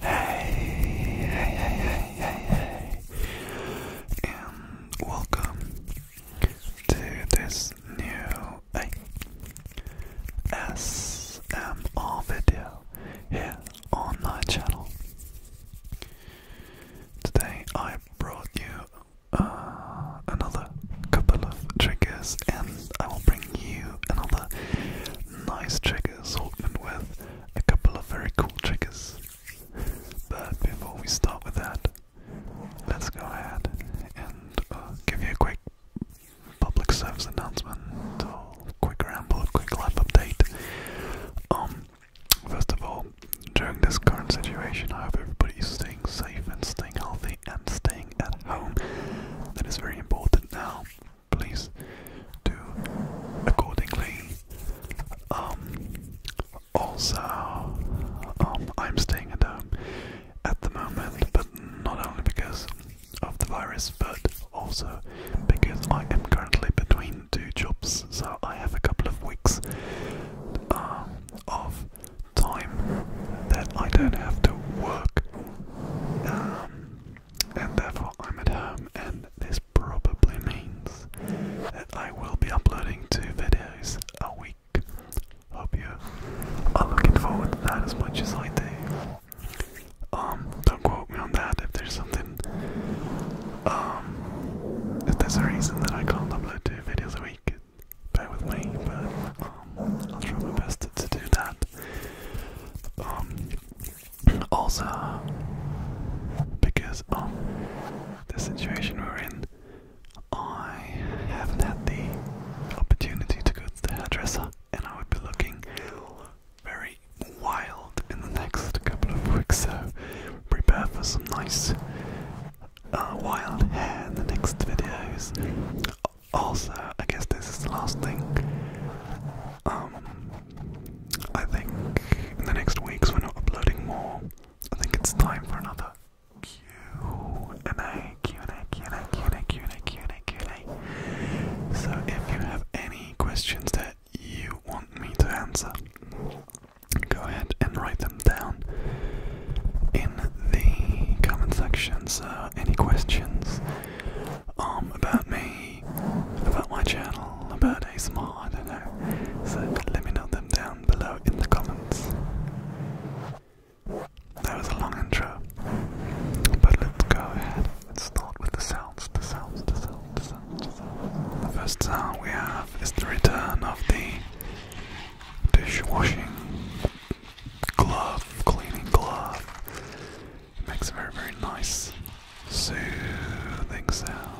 Hey, hey, hey, hey, hey, and welcome to this new SMR video here on my channel. Today I brought you another couple of triggers, and I will bring you another nice trigger triggers, Hawkman with a couple of very cool triggers. But before we start with that, let's go ahead and uh, give you a quick public service announcement, quick ramble, quick life update. Um, first of all, during this current situation, I hope everybody is staying safe and staying healthy and staying at home. That is very important now please do accordingly. Um, also, um, I'm staying at home at the moment, but not only because of the virus, but also because I am currently between two jobs, so I have a couple of weeks um, of time that I don't have to work. Um, and therefore I'm at home, and this probably means that I will be uploading two videos a week. Hope you are looking forward to that as much as I do. Um, don't quote me on that if there's something, um, if there's a reason that I can't upload two videos a week, bear with me, but I'll try my best to, do that. Um, also, because um, the situation we're in, I haven't had the opportunity to go to the hairdresser, and I would be looking very wild in the next couple of weeks. So prepare for some nice uh, wild hair in the next videos also, I guess this is the last thing. Um, I think in the next weeks we're not uploading more. I think it's time for another Q and A, Q and A, Q and A, Q and A, Q and A, Q and A, Q and A. So if you have any questions that you want me to answer, go ahead and write them down in the comment section. So any questions? um, about me, about my channel, about ASMR, I don't know. So let me know them down below in the comments. That was a long intro, but let's go ahead and start with the sounds, the sounds, the sounds, the sounds, the sounds. The first sound we have is the return of the dishwashing glove, cleaning glove. makes a very, very nice, soothing sound.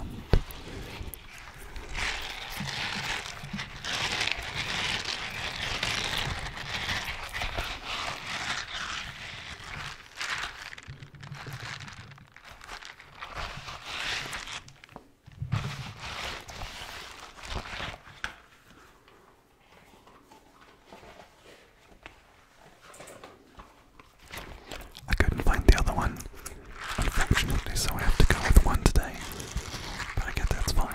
I couldn't find the other one, unfortunately, so I have to go with one today. But I get that's fine.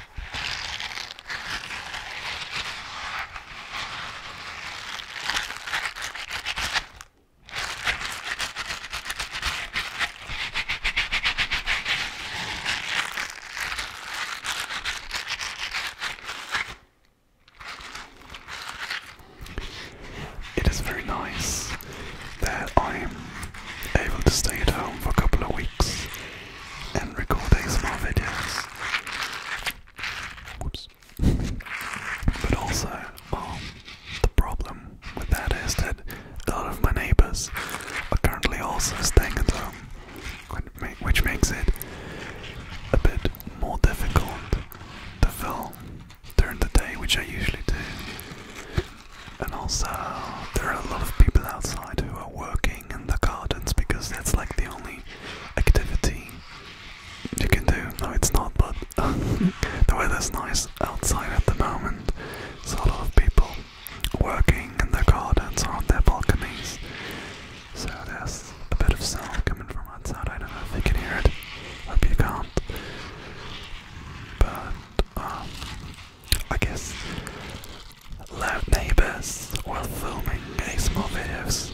It is very nice that I am able to stay at home for a couple of weeks and recording small videos. Whoops. But also, um, the problem with that is that a lot of my neighbors are currently also staying at home, which makes it a bit more difficult to film during the day, which I usually do. And also, there are a lot of people outside who are working in the gardens because that's like the only activity you can do. No, it's not, but the weather's nice outside at the moment, so a lot of people working in the gardens or on their balconies. So there's a bit of sound coming from outside. I don't know if you can hear it. Hope you can't. But um, I guess Loud neighbors while filming small videos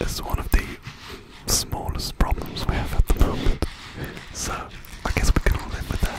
is one of the smallest problems we have at the moment. So I guess we can all live with that.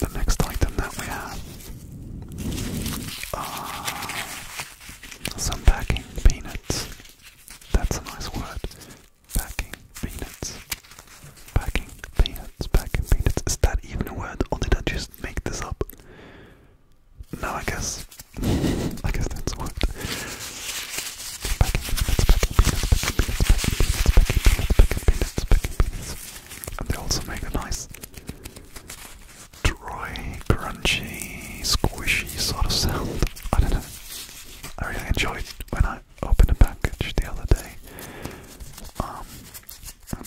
the next item that we have are some packing peanuts. That's a nice word. Packing peanuts. Packing peanuts. Packing peanuts. Is that even a word, or did I just make this up? No, I guess. I guess that's a word. Packing peanuts. Packing peanuts. Packing peanuts. Packing peanuts. Packing peanuts. Packing peanuts. And they also make a nice dry, crunchy, squishy sort of sound. I don't know. I really enjoyed when I opened a package the other day. Um,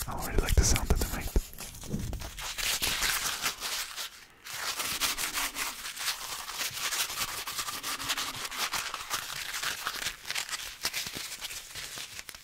I really like the sound that they make.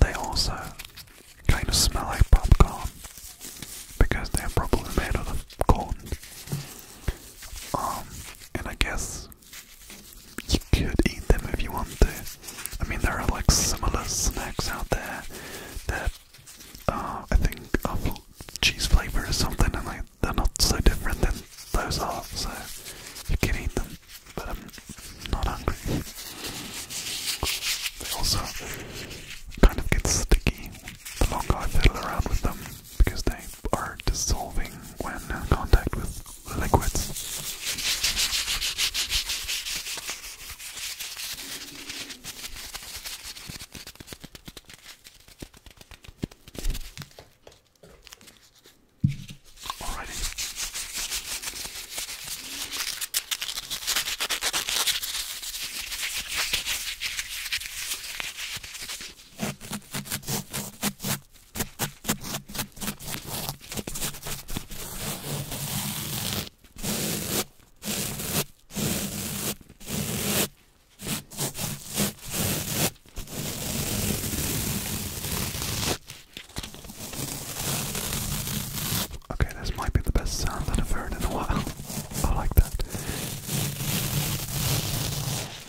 They also kind of smell like popcorn because they're probably made out of corn. Um, and I guess you could eat them if you want to. I mean, there are like similar snacks out there that uh, I think of cheese flavor or something, and like they're not so different than those are. So you could eat them, but I'm not hungry. They also kind of get sticky the longer I fiddle around with them because they are dissolving when in contact with liquids. Alrighty. Okay, this might be the best sound that I've heard in a while. I like that.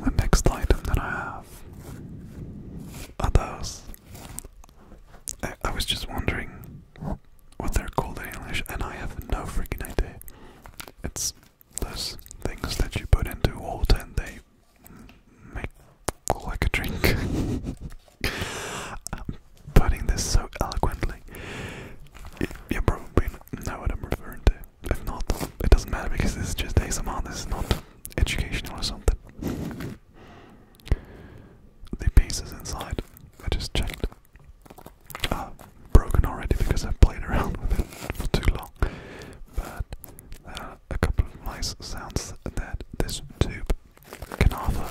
The next item that I have are those. I, was just wondering what they're called in English, and I have no freaking idea. It's those things that you put into water and they make like a drink. putting this so eloquently. You, probably know what I'm referring to. If not, it doesn't matter because this is just ASMR, this is not educational or something. The pieces inside, I just checked uh, broken already because I've played around with it for too long. But there are a couple of nice sounds that this tube can offer.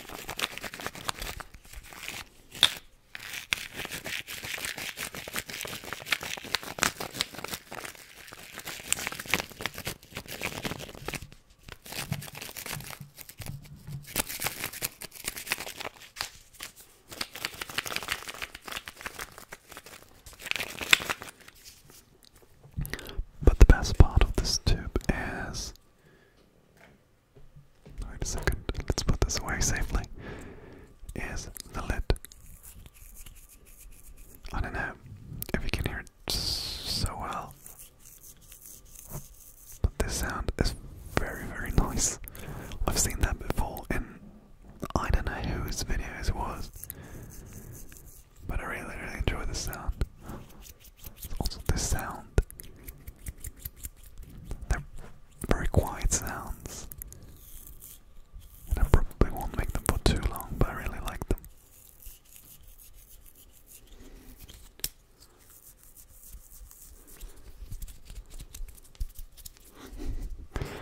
But the best part of this tube is Wait a second, let's put this away safely. Is the lid. I don't know if you can hear it so well, but this sound is very, very nice. I've seen that before in I don't know whose videos it was, but I really, really enjoy this sound. Also, the sound. They're very quiet sounds. And I probably won't make them for too long, but I really like them.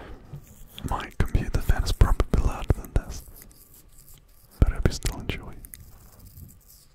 My computer fan is probably louder than this, but I hope you enjoy.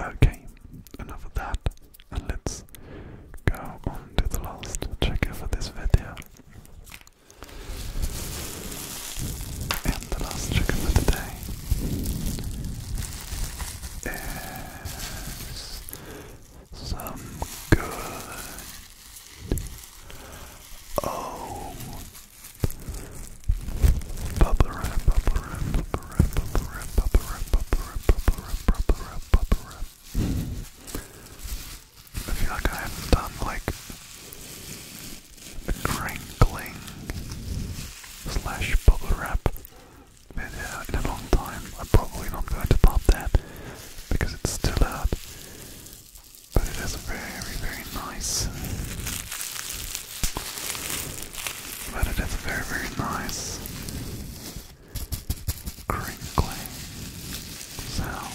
Okay, enough of that, and let's go on to the last trigger for this video. And the last trigger for today is some good oh bubble wrap, bubble wrap, bubble wrap, bubble wrap, bubble wrap, bubble wrap, bubble wrap, bubble wrap, I feel like I haven't done like crinkling slash bubble wrap been out in a long time. I'm probably not going to pop that because it's still out. But it is very, very nice. But it very, very nice crinkling sound.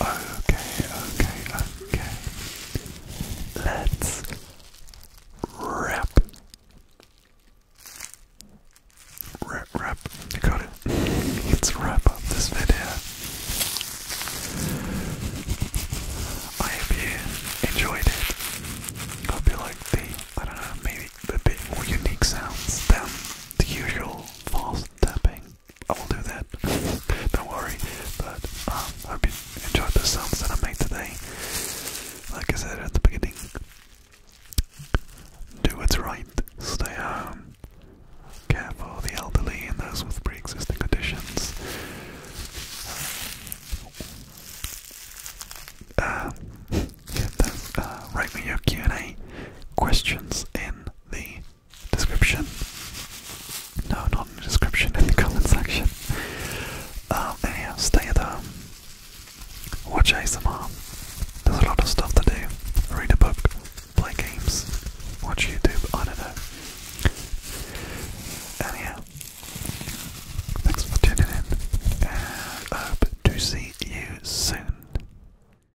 Okay, okay, okay. Let's wrap. Wrap, wrap. got it. Let's wrap up this video. I hope you enjoyed it. Hope you liked the, I don't know, maybe a bit more unique sounds than the usual fast tapping I will do that. Don't worry. But um, I hope you enjoyed the sounds that I made today. Like I said at the beginning, do what's right. Stay home. Care for the elderly and those with pre-existing conditions. Uh, uh write me your Q&A questions in the description. No, not in the description, in the comment section. Um, anyhow, stay at home. Watch ASMR. There's a lot of stuff to do. Read a book, play games, watch YouTube, I don't know. Anyhow, thanks for tuning in, hope to see you soon.